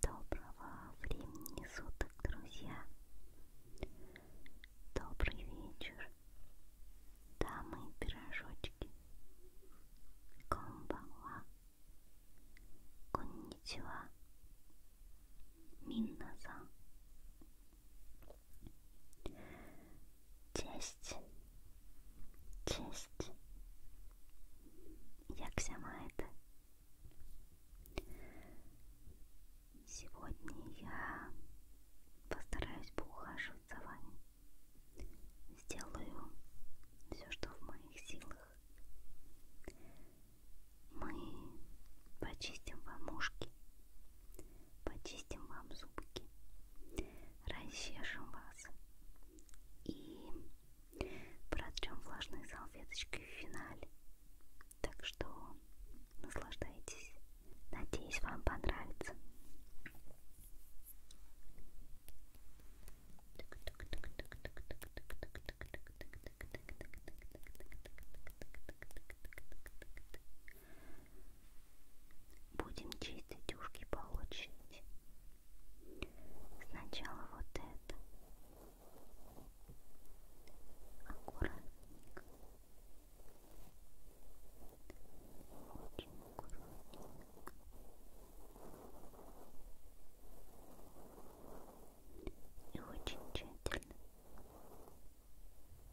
Доброго времени суток, друзья! Добрый вечер, дамы и пирожочки! Комбала! Конничева! Минназа! Cześć. Cześć. Jak się маете? Сегодня я постараюсь поухаживать за вами. Сделаю все, что в моих силах. Мы почистим вам ушки, почистим вам зубки, расчешем вас и протрем влажной салфеточкой в финале. Так что наслаждайтесь. Надеюсь, вам понравится. Будем чистить ушки по очереди. Сначала вот это. Аккуратненько. Очень аккуратненько. И очень тщательно.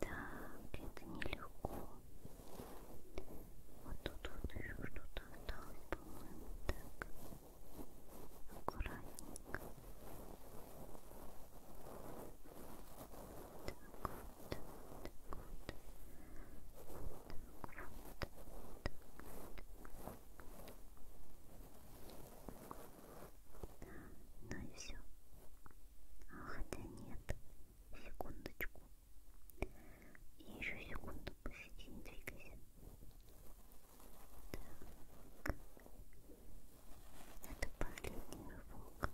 Так, это нелегко. Вот тут вот еще что-то осталось, по-моему, так. Аккуратненько. Ну и все. А, хотя нет. Секундочку. И еще секунду посиди, не двигайся. Так. Это последний рывок.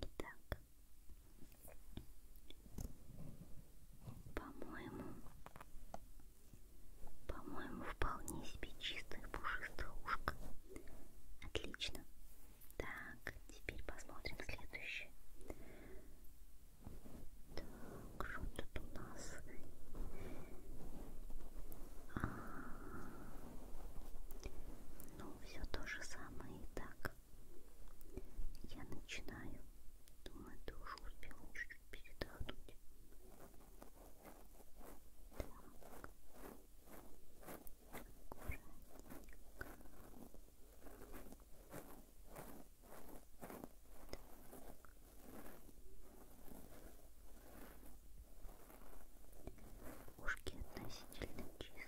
Итак, по-моему, по-моему, вполне себе чистая пушистая ушко. Отлично. Так, теперь посмотрим следующее. Так, что тут у нас? А -а -а. Ну, все то же самое и так. Я начинаю. Думаю, ты уже успела чуть-чуть передохнуть. Так. Аккуратненько. Так. Ушки относительно чистые.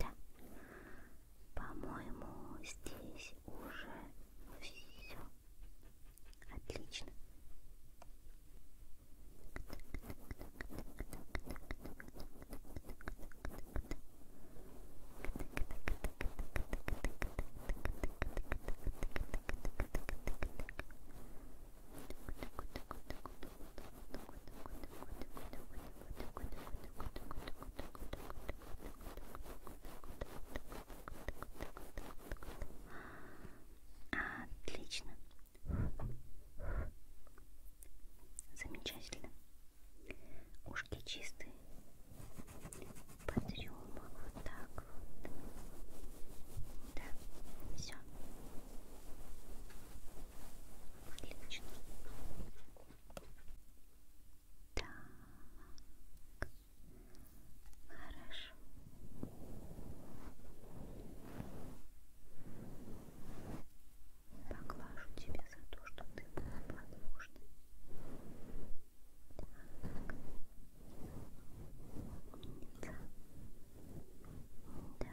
Да, по-моему, здесь уже все отлично. Так, Отлично. Замечательно. Ушки чистые. Потрем вот так вот. Да, все. Отлично. Так. Хорошо. Поглажу тебя за то, что ты была подложна. Так. Умница. Да.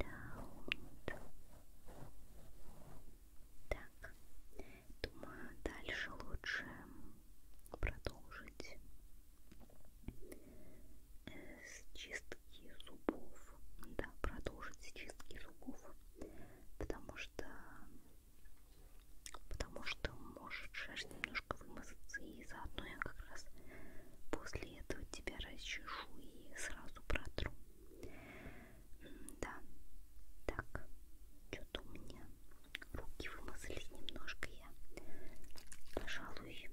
Да, вот. Так, думаю, дальше лучше продолжить э, с чистки зубов. Да, продолжить с чистки зубов, потому что потому что может шерсть немножко вымазаться и заодно я как раз после этого тебя расчешу и сразу протру. Да, так, что-то у меня руки вымазались немножко, я, пожалуй,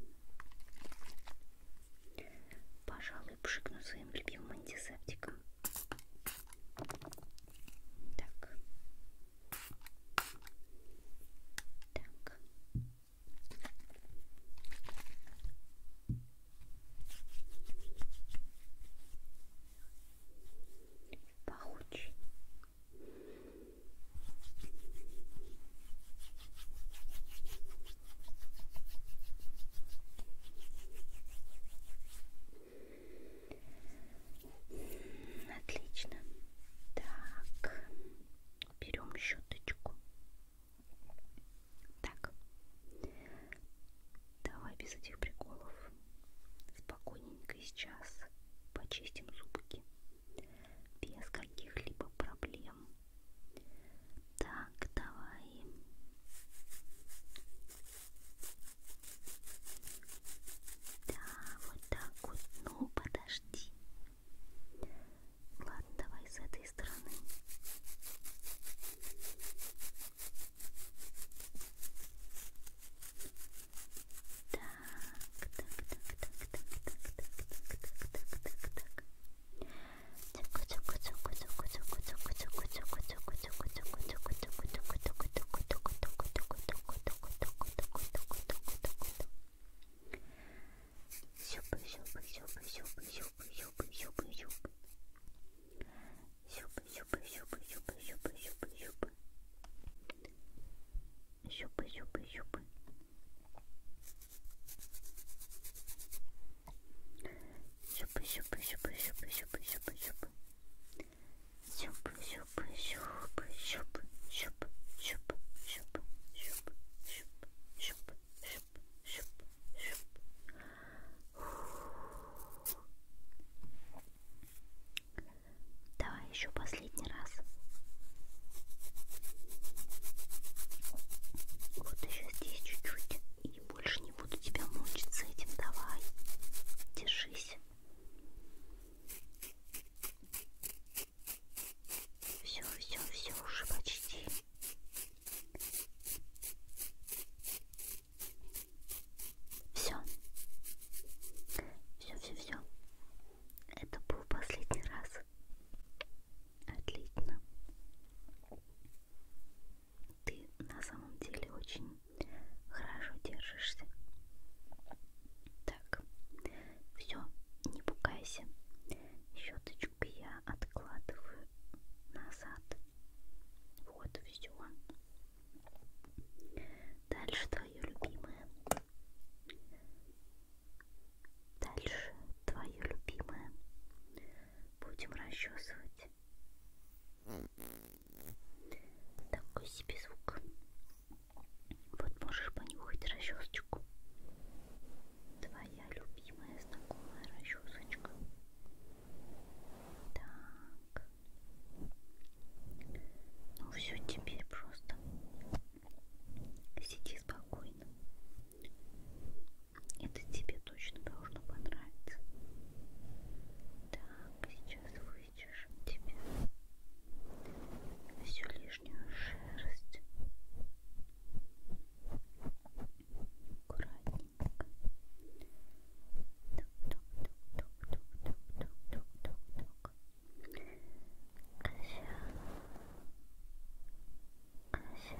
пожалуй, пшикну своим любимым антисептиком. Так. Так. Пахучий. Отлично. Так, берем щеточку. Так, давай без этих приколов. Спокойненько сейчас почистим зубки. Без каких-либо проблем. Так, давай. Да, вот так вот. Ну, подожди. Ладно, давай с этой стороны. Так, так, так, так, так, так, так, так, так, так, так. Тюку, тюку, тюку, тюку, тюку, тюку, тюку, тюку, тюку, тюку, тюку, тюку, щупы щупы щупы Щупы, щупы, щупы, щупы, щупы, щупы, щупы. Щупы, щупы, щупы, щупы, щупы, щупы, щупы, щупы, щупы, щупы, щупы, щупы, щупы. Давай еще последний раз. Вот еще здесь чуть-чуть. И больше не буду тебя мучить с этим. Давай, держись. Все, все, все уже почти. Все. Все, все, все. Это был последний раз. Отлично. Ты на самом деле очень хорошо держишься. Так, все, не пугайся. Щеточку я откладываю назад. Вот все. Дальше твое любимое. Дальше твое любимое будем расчесывать. Такой себе звук. Вот можешь понюхать расчесочку. Твоя любимая знакомая расчесочка. Так. Ну все, теперь просто сиди спокойно. Это тебе точно должно понравиться. Так, сейчас вычешем тебе всю лишнюю шерсть. Аккуратненько. Тук-тук-тук-тук-тук-тук-тук-тук-тук. Кося. Кося.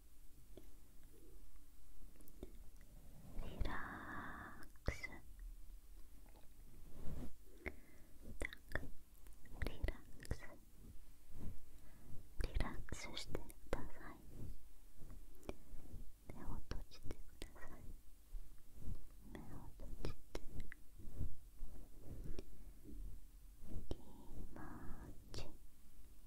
リラックスリラックスリラックスしてください目を閉じてください目を閉じて気持ち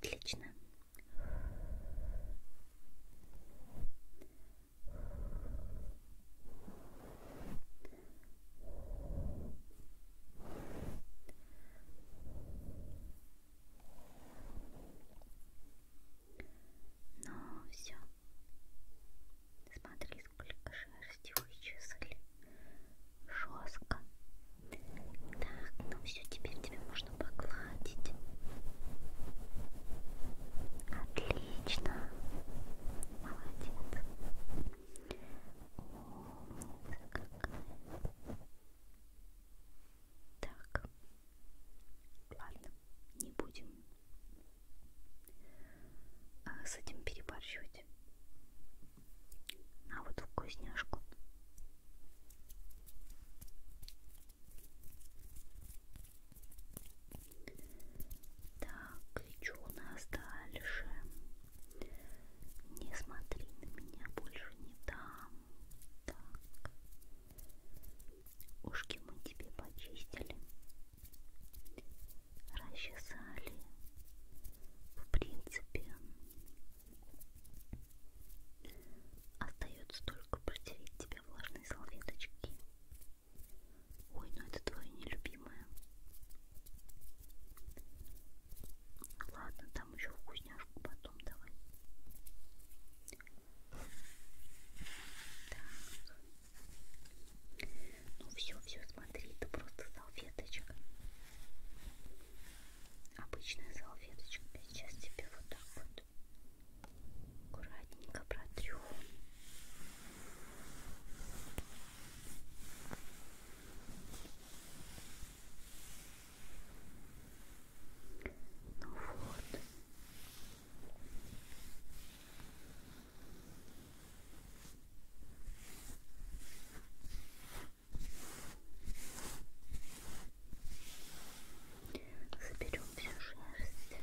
Отлично. Ну все. Смотри, сколько шерсти вычислили. Жестко. Так, ну все, теперь тебе можно погладить. Отлично. Отлично. Молодец. Умница какая. Так. Ладно, не будем а с этим перебарщивать. На вот вкусняшку. Так, и что у нас дальше? Не смотри на меня, больше не дам. Так. Ушки мы тебе почистили. Расчесали. В принципе, остается только протереть тебя влажной салфеточки. Ой, ну это твое нелюбимое. Ладно, там еще вкусняшку потом давай. Так. Ну все, все, смотри, это просто салфеточка. Обычная салфеточка. Сейчас тебе вот так вот аккуратненько протрем ну вот. Заберем всю шерсть.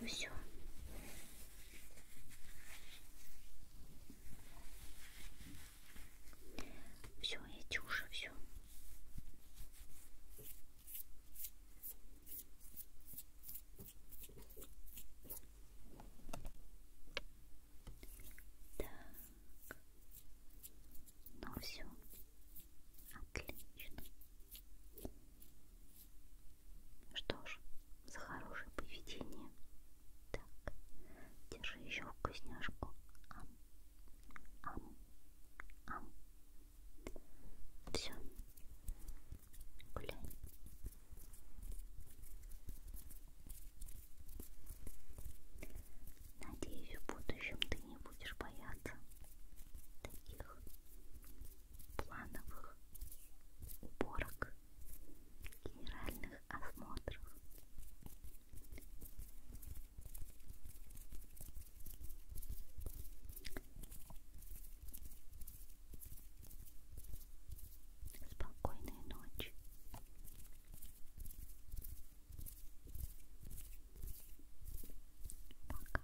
Ну все. Все, эти уже все. Так. Ну все. Отлично. Что ж, за хорошее поведение. Так, держи еще вкусняшку. Ам, ам, ам. Все. Гуляй. Надеюсь, в будущем ты не будешь бояться таких плановых уборок, генеральных осмотров. Спокойной ночи. Пока.